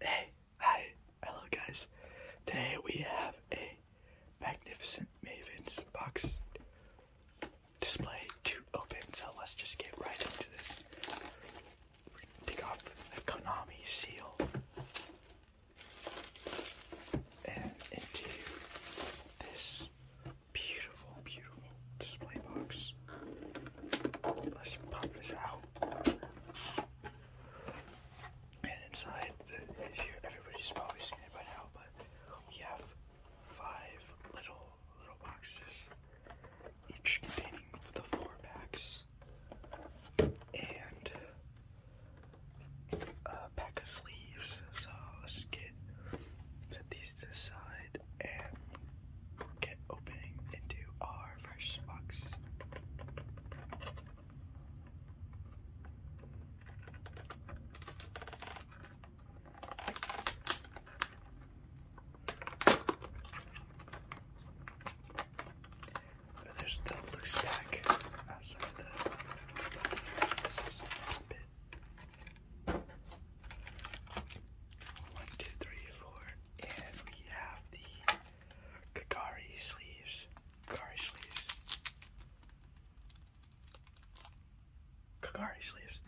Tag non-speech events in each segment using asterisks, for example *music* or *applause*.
Hey, hi, hello guys. Today we have a magnificent Mavens box display to open, so let's just get right into this. take off the Konami seal and into this beautiful, beautiful display box. Let's pop this out. And inside, uh, everybody's probably seen it by now, but we have five little little boxes, each containing the four packs and uh, a pack of sleeves. So let's get set these to the side and get opening into our our fresh box. But there's the loose pack outside the box. Let's just pop it. One, two, three, four, and we have the Kagari sleeves. Kagari sleeves. Kagari sleeves.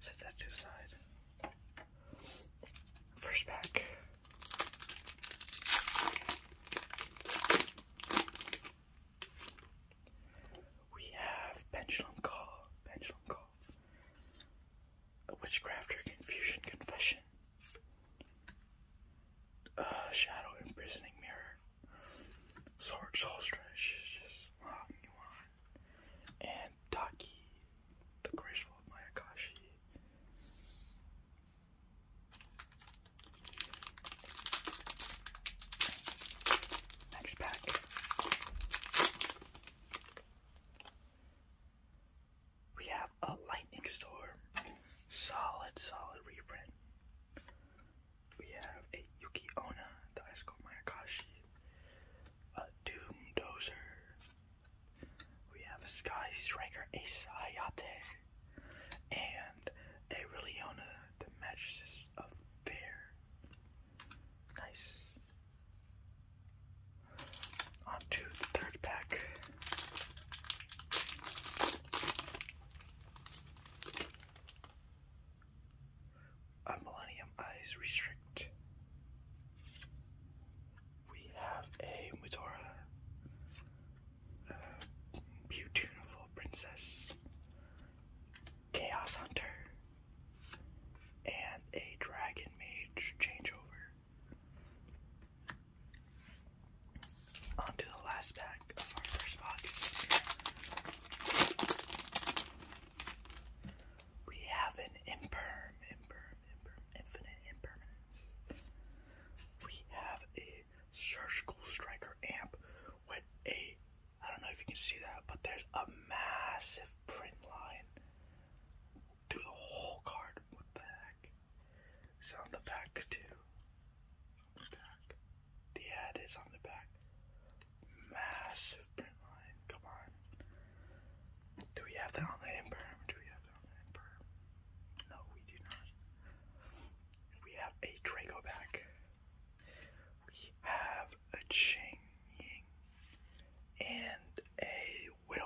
Set that to the side. First pack. We have pendulum call, pendulum call. A witchcraft or confusion confession. A shadow imprisoning mirror. Sword soul stretch, just long you on. And Taki, the graceful of Mayakashi. Next pack. We have a lightning storm. Solid, solid reprint. We have a Yuki Onna, Daisuke Mayakashi, a Doom Dozer. We have a Sky Striker, Ace Hayate, and a Reliona, the Mattresses of Fair. Nice. Onto the third pack. A Millennium Eyes Restrict. We have a Mutora, uh, beautiful princess, Chaos Hunter, and a dragon mage changeover. On to the last pack of our first box. We have an imperm, imperm, imperm, infinite impermanence. We have a surgical striker amp with a I don't know if you can see that, but there's a massive print line through the whole card. What the heck? It's on the back too. the ad is on the back. Massive print line. Come on. Do we have that on the imperm? Do we have that on the imperm? No, we do not. We have a Draco back. We have a Ching and a Widow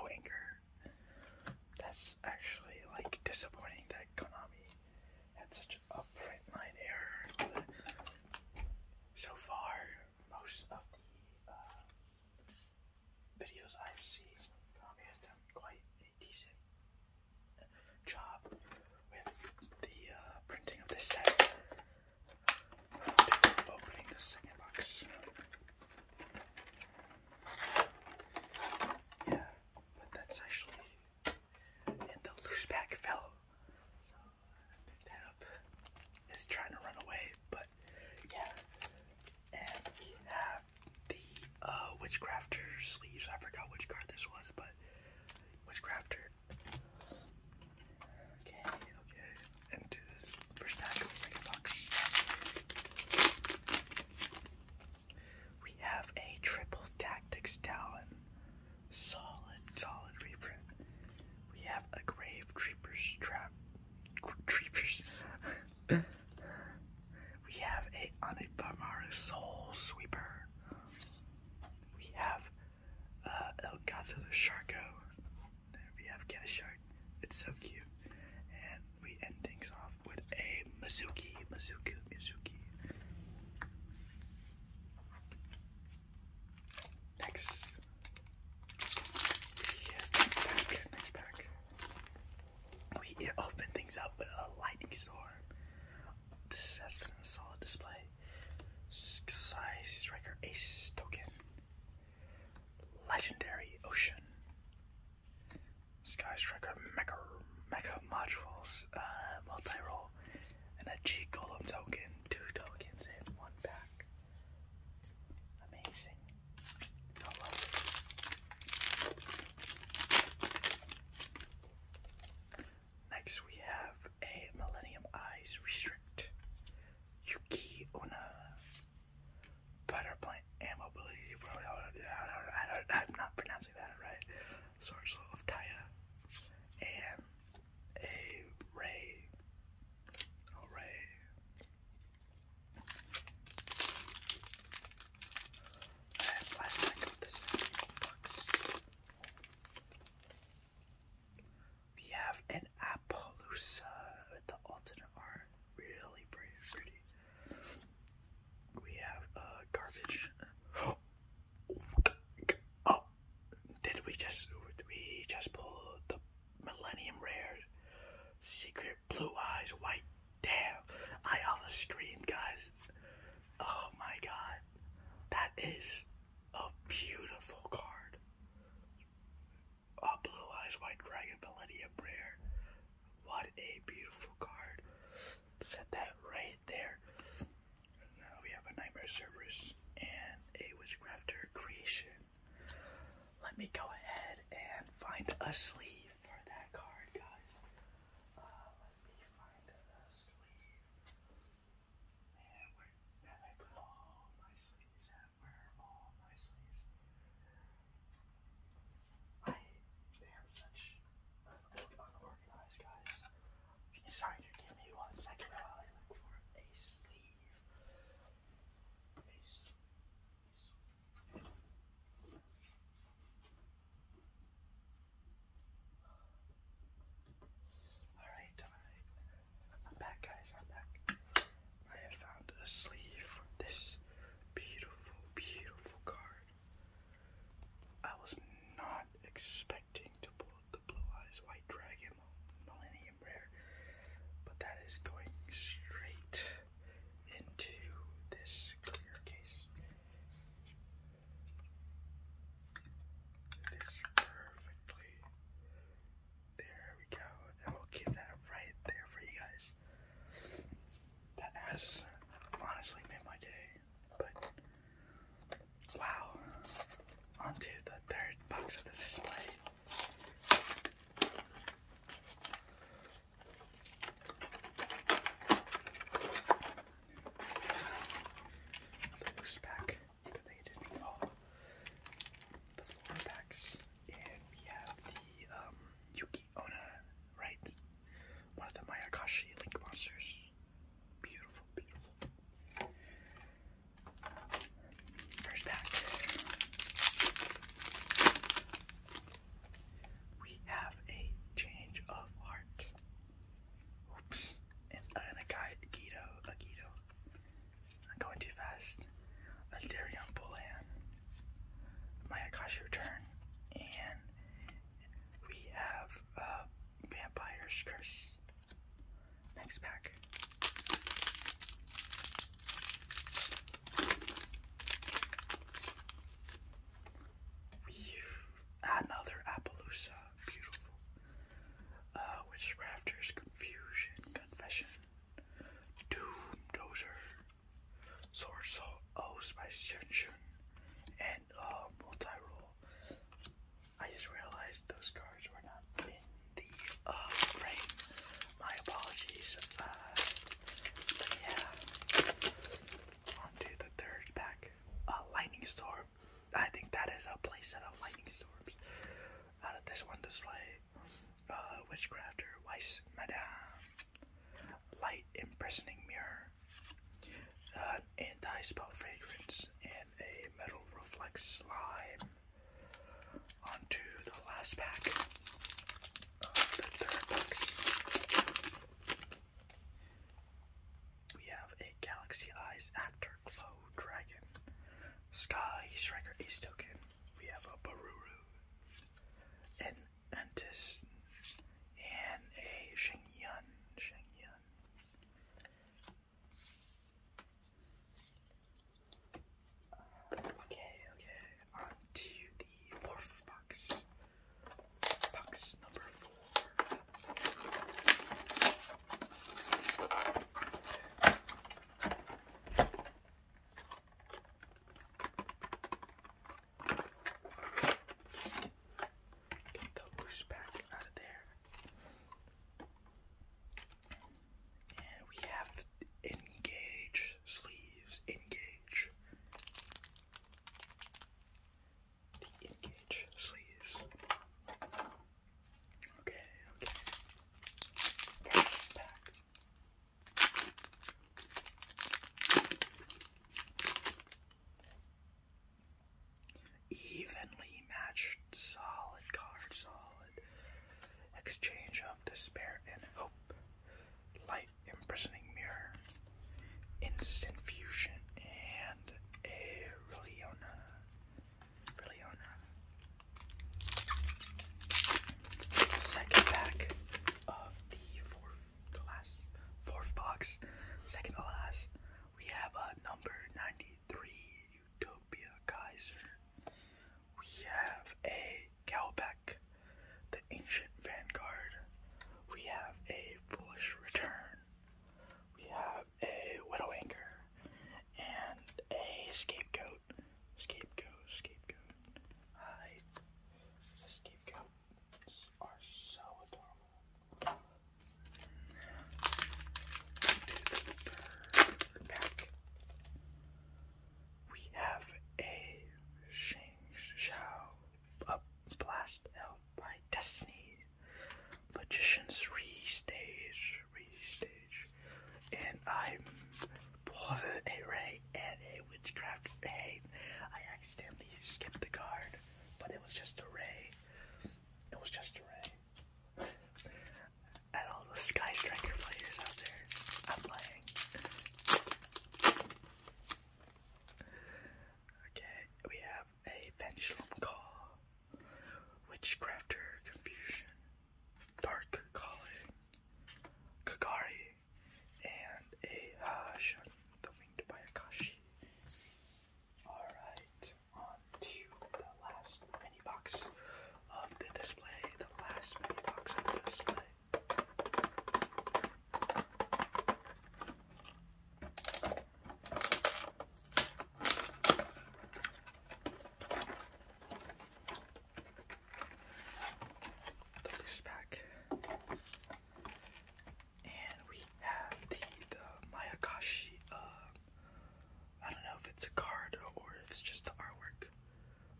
That's actually like disappointing that Konami had such a print line error. so far, most of the uh, videos I've seen, Konami has done quite a decent job with the uh, printing of this set opening the second box. Yeah, but that's actually and the loose pack fell. So I picked that up. It's trying to run away, but yeah. And we have the uh, sleeves. I forgot which card this was, but Witchcrafter Okay, okay. And do this first pack We have a triple tactics talon. Solid, solid reprint. We have a grave creeper's trap. Creepers. *laughs* we have a Anipamara soul sweeper. We have uh, El Gato de Sharko. We have Get a Shark. It's so cute. And we end things off with a Mizuki, Mizuki, Mizuki. Next. next pack, next pack. We open things up with a lightning storm. This has been a solid display. Sky Striker Ace Token. Legendary Ocean. Sky Striker Mecha, Mecha Modules. Uh, multi roll. And a G Golem token. Two tokens in one pack. Amazing. Next we have a Millennium Eyes Restrict. Yuki Una. Butter plant immobility. I'm not pronouncing that right. Source of Taya. And a Ray. Oh, Ray. I have, I have to go with this box. We have an Appaloosa with the alternate art, Really pretty We have uh garbage. *gasps* oh. did we just did we just pull the Millennium Rare Secret Blue Eyes White? Damn, I almost screamed guys. Oh my god. That is a beautiful card. A Blue Eyes White Dragon Melody of Prayer. What a beautiful card. Set that right there. we have a Nightmare Cerberus and a Witchcrafter Creation. Let me go ahead and find a sleeve for that card, guys. Uh, let me find the sleeve. And where have I put all my sleeves at? Where are all my sleeves? I am such an unorganized guys. Sorry to give me one second while I look for a sleeve. Alright, I'm back, guys. I'm back. I have found a sleeve for this beautiful, beautiful card. I was not expecting to pull the Blue Eyes White Dragon Millennium Rare, but that is going straight into this clear case. This perfectly. There we go. And we'll keep that right there for you guys. That has honestly made my day. But wow. Onto the third box of the display. Push back they didn't fall. The floor packs, and we have the um, Yuki Onna, right? One of the Mayakashi Link monsters. Beautiful, beautiful. First pack. We have a change of heart. Oops. And, a guy, Guido, a Guido. I'm going too fast. A Darion Bullan. My Akashi Return. And we have uh, Vampire's Curse. Next pack. Another Appaloosa, beautiful. Uh, Witchcrafters, Confusion, Confession, Doom Dozer, Source O Spice Junction, and uh, Multi Roll. I just realized those cards were not in the uh, frame, my apologies, uh, yeah. On the third pack, lightning storm. I think that is a playset of lightning storms. Out of this one display, uh, witchcrafter, Weiss Madame, light imprisoning mirror, anti-spell fragrance, and a metal reflex slime onto the last pack of the third box. We have a Galaxy Eyes Afterglow Dragon, Sky Striker Ace Token. We have a Baruru, an Antis, and a Shengyun. Shengyun. Okay, okay, on to the fourth box. Box number four. Get the loose pack out of there we have engage sleeves. Engage. The engage sleeves. Okay, okay. Evenly matched, solid card, solid exchange of despair and hope, light imprisoning mirror, instant fusion, and a Reliona. Reliona. Second pack of the fourth, the last, fourth box, second to last, we have a uh, number 93 Utopia Kaiser. We have a Galbeck, the Ancient Vanguard. We have a Foolish Return. We have a Widow Anchor. And a Scapegoat. Scapegoat, Scapegoat. Hi. The Scapegoats are so adorable. Into the pack we have a Shang Shao, a blast held by Destiny, Magician's Restage, Restage, and I'm both a Ray and a Witchcraft Ray. I accidentally skipped a card, but it was just a Ray. It was just a Ray at all the Sky Striker players out there. I'm playing. Okay, we have a Pendulum Call, Witchcrafter Confusion, Dark Calling, Kagari, and a Hashan, the Winged by Akashi. Alright on to the last mini box of the display. The last mini box of the display. Put back. And we have the, Mayakashi uh, I don't know if it's a card or if it's just the artwork.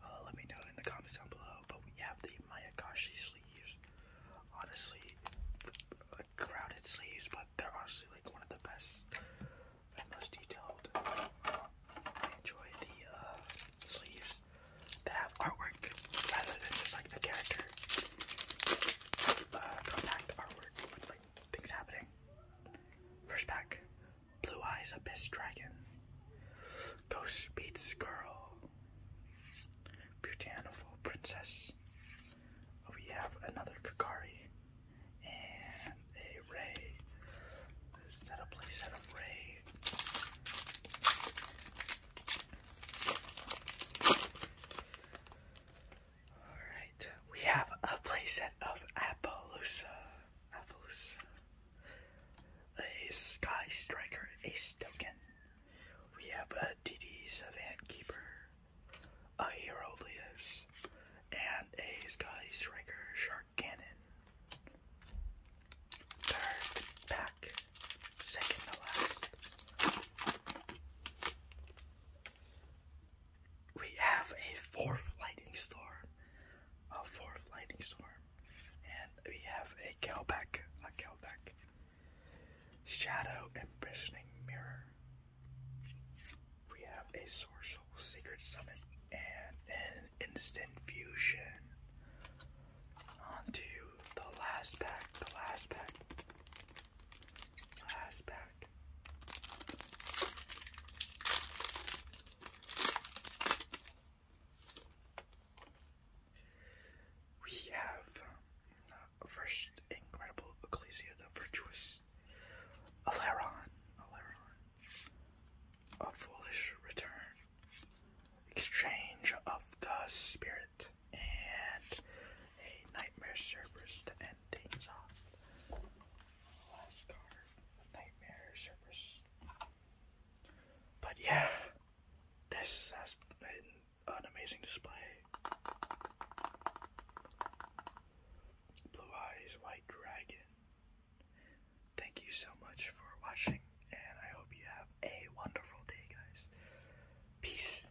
Uh, let me know in the comments down below. But we have the Mayakoshi sleeves. Honestly, the, uh, crowded sleeves, but they're honestly like one of the best and most detailed. Uh, I enjoy the sleeves that have artwork rather than just like the character compact artwork things happening. First pack, Blue Eyes Abyss Dragon, Ghost Beats Girl, Beautiful Princess. Oh, we have another Kakari and a Ray. Set up place set of Ray. Alright, we have a playset of Appaloosa. Appaloosa. A Sky Striker Ace Token. We have a DD Savant Keeper. A Hero Lives. And a Sky Striker Shark Cannon. Third pack. Second to last we have a fourth lightning storm, a fourth lightning storm, and we have a cowback, a cowback, shadow imprisoning mirror. We have a sorcerer secret summit and an instant fusion. Onto the last pack, the last pack, last pack. We have um, uh, first incredible Ecclesia the Virtuous, Alaron, a foolish return, exchange of the spirit, and a Nightmare Cerberus to end things off. Last card, Nightmare Cerberus. But yeah, this has been an amazing display. Blue Eyes White Dragon. Thank you so much for watching, and I hope you have a wonderful day, guys. Peace.